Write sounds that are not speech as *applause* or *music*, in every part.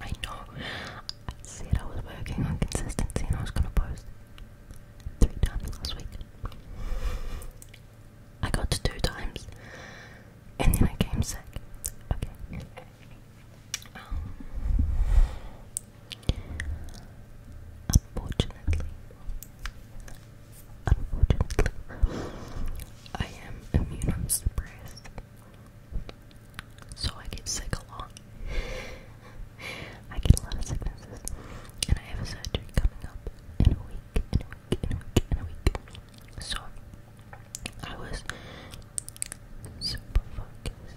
I know. I said I was working on consistency and I was gonna post three times last week. I got to two times and then I came sick. Okay. Um, unfortunately, unfortunately, I am immunosuppressed, so I get sick a lot. I get a lot of sicknesses, and I have a surgery coming up in a week, in a week, in a week, in a week. So I was super focused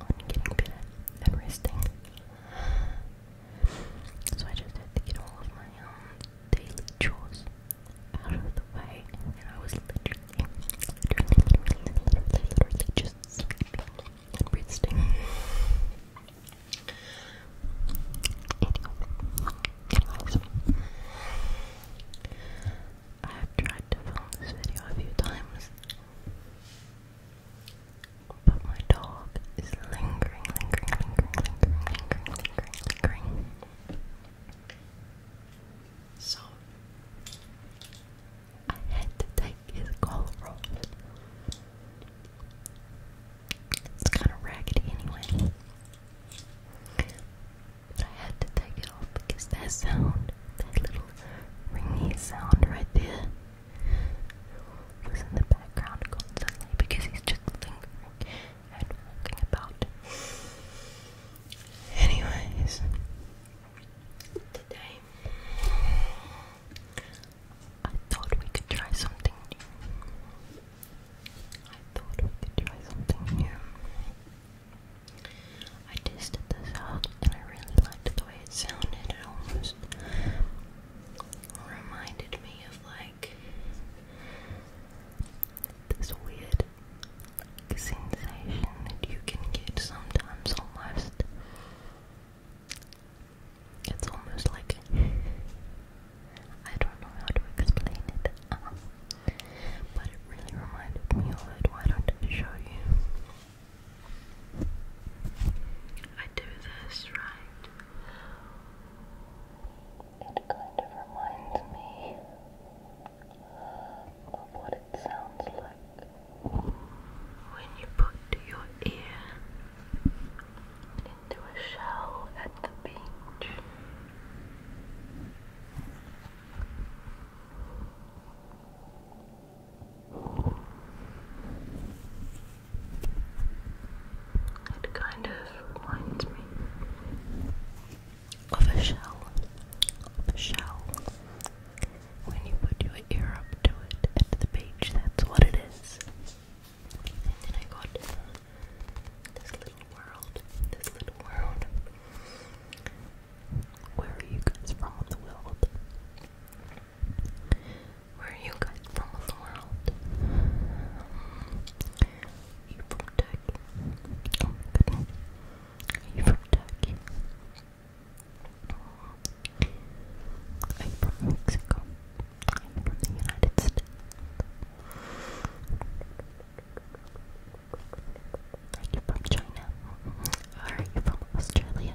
on getting better and resting. So I just had to get all of my um daily chores out of the way, and I was literally, literally, literally, literally, literally just sleeping and resting. I have tried to film this video a few times, but my dog is lingering, lingering, lingering, lingering, lingering, lingering. So I had to take his gold roll. It's kind of raggedy anyway. But I had to take it off because that sound, that little ringy sound right there, was in the background constantly because he's just lingering and today I thought we could try something new. I thought we could try something new. I tested this out and I really liked the way it sounded. It almost reminded me of like this weird sensation that you can get sometimes almost. It's almost like I don't know how to explain it, *laughs* but it really reminded me of it. Why don't I show you? I do this right. It kind of reminds me of what it sounds like when you put your ear into a shell at the beach. It kind of reminds me of a shell, of a shell. When you put your ear up to it at the beach, that's what it is. And then I got this little world, this little world. Where are you guys from in the world? Where are you guys from in the world? Are you from Turkey? Oh Are from Turkey? you Are from the United States? Are you from China? are you from Australia?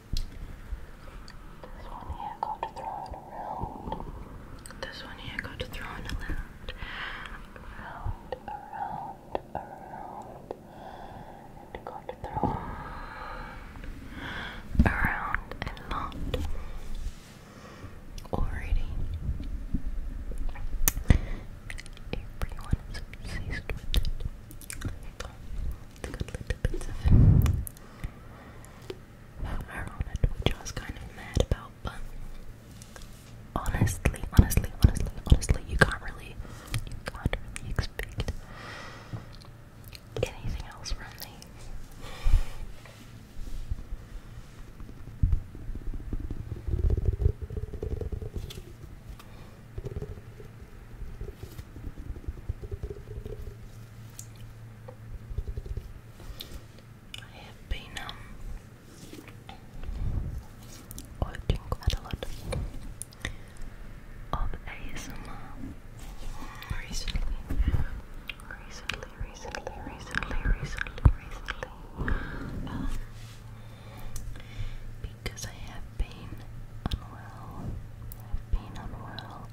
This one here got thrown around. This one here got thrown around. Around, around, around. It got thrown around a lot already. Everyone is obsessed with it. It's got little bits of her on it, kind of mad about, but honestly, honestly, honestly, honestly, you can't really, you can't really expect anything else from these. I have been um, watching quite a lot of ASMR recently. Recently, recently, recently, recently, um, because I have been unwell. I've been unwell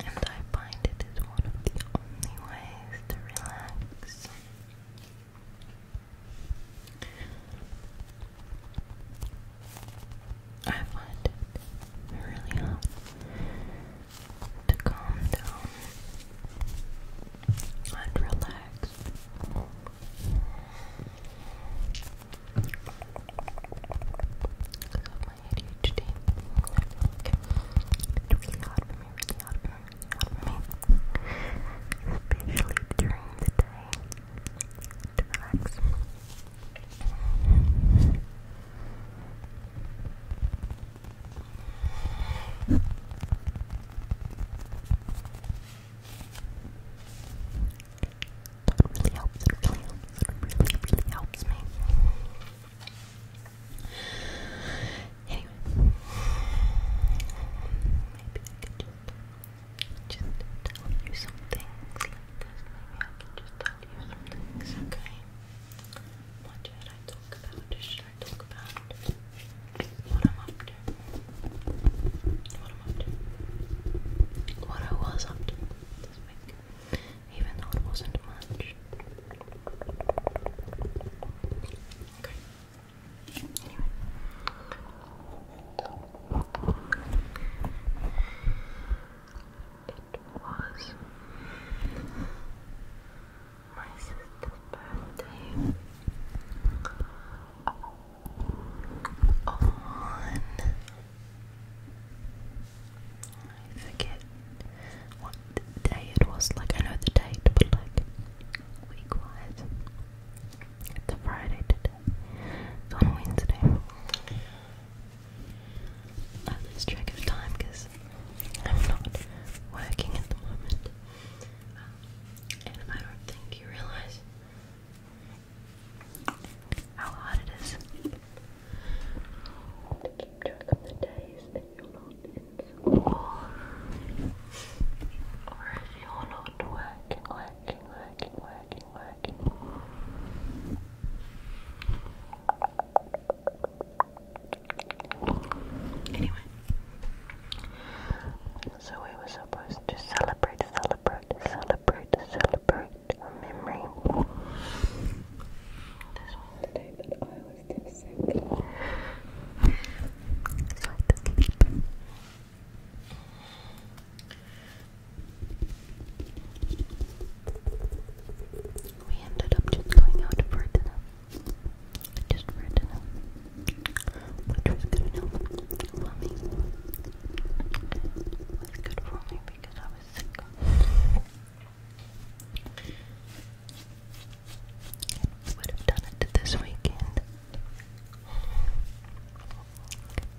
and I find it is one of the only ways to relax. I find it really hard to calm down and relax. Because of my ADHD, I feel it's really hard for me, really really hard for me. Especially during the day. To relax. It really helps. It really helps. It really, really helps me. Anyway, maybe I could just, just tell you something. like this. Maybe I can just tell you some okay? What should I talk about? Should I talk about what I'm up What I'm up What I was up this week? even though it wasn't much. Okay. Anyway. It was my sister's birthday on I forget what day it was, like I know the date, but like week wise. It's a Friday today. It's on Wednesday. I lose track of time because I'm not working at the moment. Um, and I don't think you realise how hard it is Keep track of the days that you're not in Or you're not working, working, working, working, working. Anyway. So we were supposed to celebrate, celebrate, celebrate celebrate, celebrate a memory. This was I was still sick. So We ended up just going out for dinner. Just for dinner. Which was good enough for me. It was good for me because I was sick. Would have done it this weekend,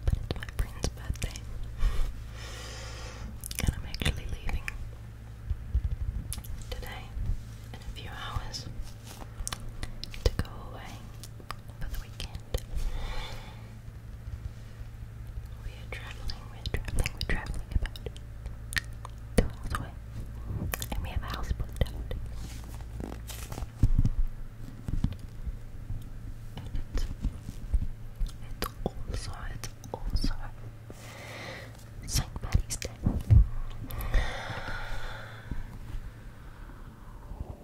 but it's my friend's birthday, and I'm actually leaving today in a few hours to go away for the weekend. We are traveling, we're traveling, we're traveling about two hours away. And we have a house booked And it's, it's also, it's also St. Patty's Day.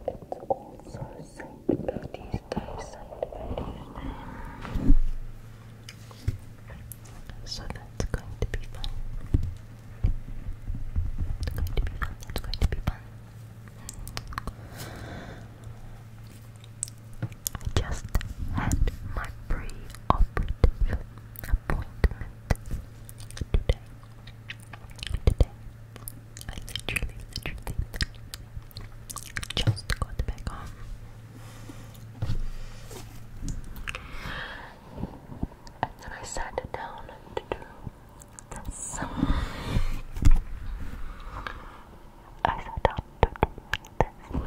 It's also St. So that's going to be fun. It's going to be fun. It's going to be fun. I just had my pre-operative appointment today. Today. I literally, literally, just got back home. And then I sat down to do this. I sat down to do this.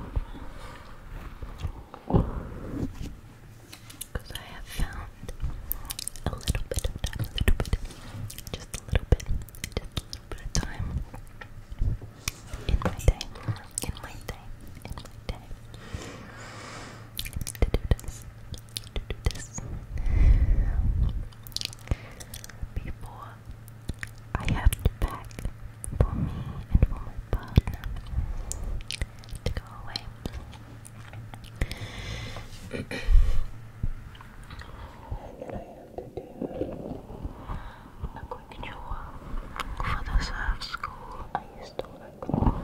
Because I have found a little bit of time, just a little bit, just a little bit of time in my day, in my day, in my day before I have to pack for me and for my partner to go away. *clears throat* to do for the surf school I used to work for.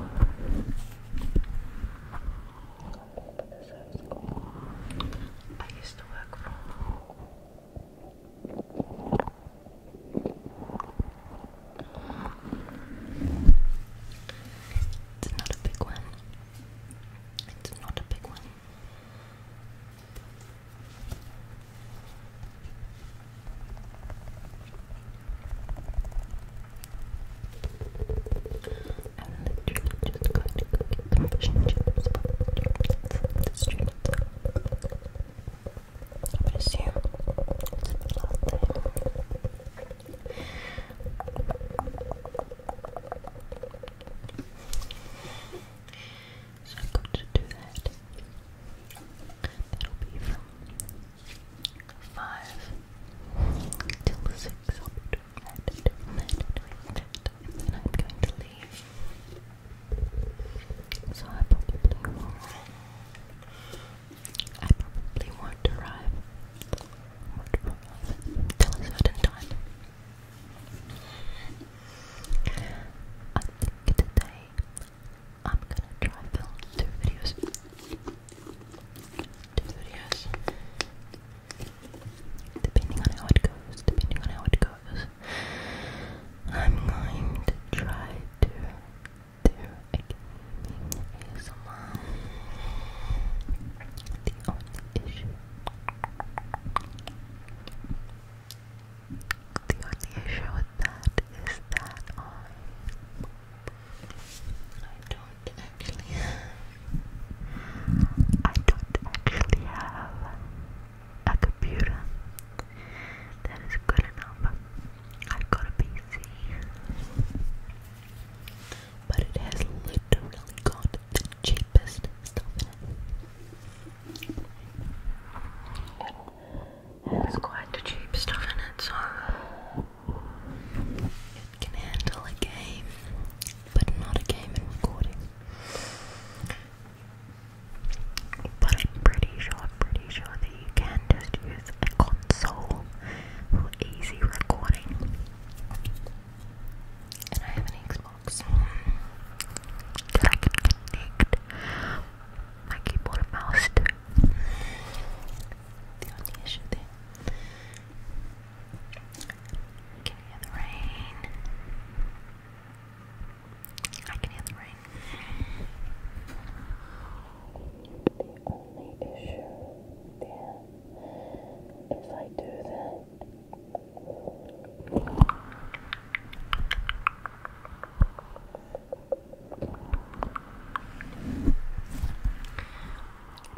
For the surf school I used to work for. It's not a big one. It's not a big one literally just going to cook it the fish and chips from the street. I would assume it's the last day. So I'm going to do that. That'll be from 5 till 6. i am going to leave. So I probably won't. I probably won't arrive, will a certain time. I think today I'm gonna try film two videos. Two videos. Depending on how it goes, depending on how it goes. I'm going to try to do a gaming The only issue the only issue with that is that I don't actually I don't actually have a computer that is good enough. I've got a PC. But it has literally got the cheapest stuff in it. It's quite the cheap stuff in it, so it can handle a game, but not a game and recording. But I'm pretty sure, pretty sure that you can just use a console for easy recording. And I have an Xbox box I can connect my keyboard mouse The only issue there. I can hear the rain. I can hear the rain. The only issue there is I do that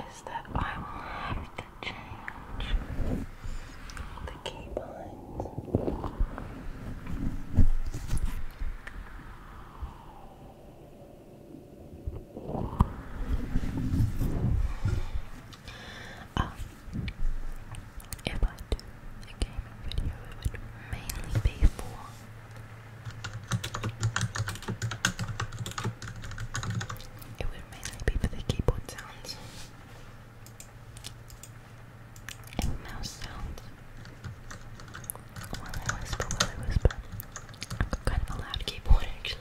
is that I will have to change the keybinds. Um, if I do a gaming video, it would mainly be for. It would mainly be for the keyboard sounds and mouse sounds. While I whisper, while whisper. kind of a loud keyboard actually.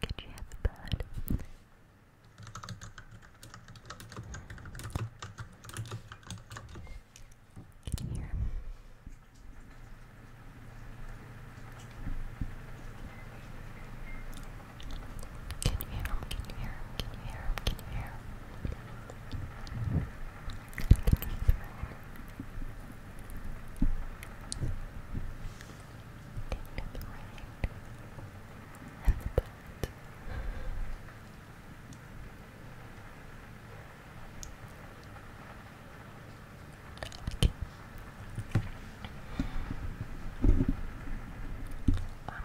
Could you have a bird? Can you hear Can you hear Can you hear Can you hear the right and the butt. Okay. I'm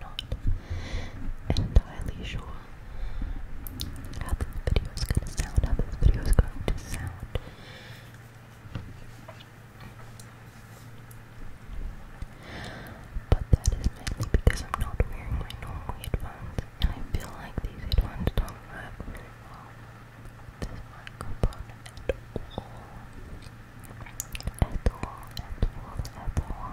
not entirely sure how this video is going to sound, how this video is going to sound. But that is mainly because I'm not wearing my normal headphones, and I feel like these headphones don't work this microphone at all. At all, at all, at all.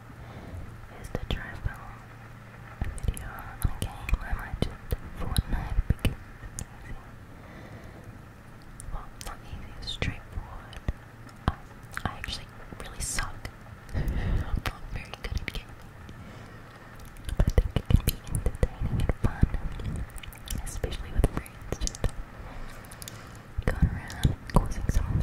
is to try and video on a game I mentioned, Fortnite, because it's easy. Well, not easy, it's straightforward. Um, I actually really suck. *laughs* I'm not very good at gaming. But I think it can be entertaining and fun, especially with friends, just going around causing some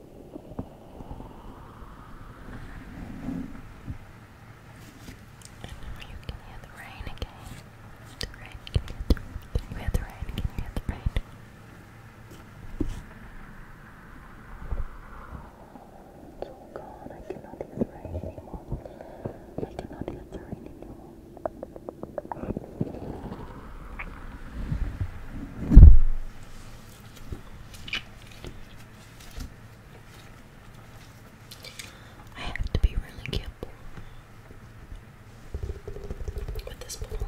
And now you can hear the rain again. The rain, can you hear the, can you hear the rain? Can you hear the rain? Oh god, I cannot hear the rain anymore. I cannot hear the rain anymore. I have to be really careful with this ball.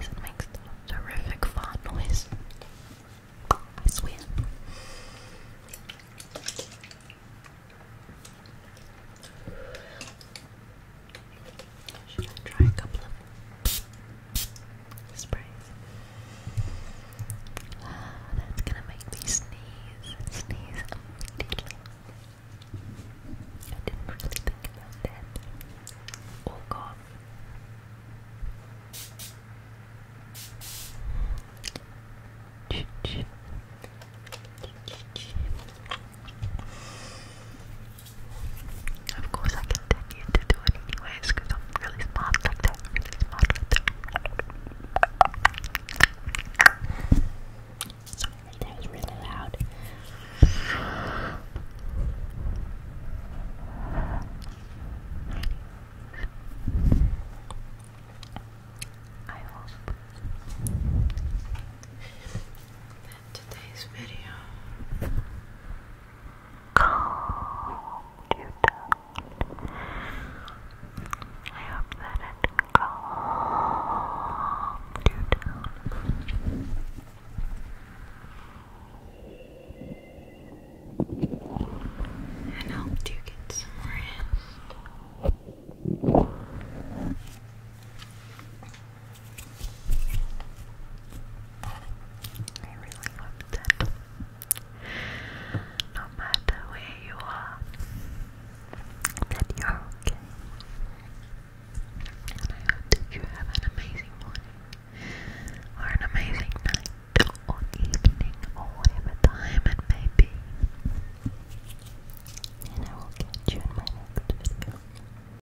it makes a terrific fart noise. I swear. Should I try a couple of sprays? Ah, that's gonna make me sneeze. Sneeze immediately. I didn't really think about that. Oh god. Of course, I continue to do it anyways because I'm really smart like that. Sorry, that was really loud. I hope in today's video, calm you down. I hope that it calmed you down. And helped you get some rest. I really hope that no matter where you are, that you're okay. And I hope that you have an amazing morning, or an amazing night, or evening, or whatever time it may be. And I will catch you in my next video.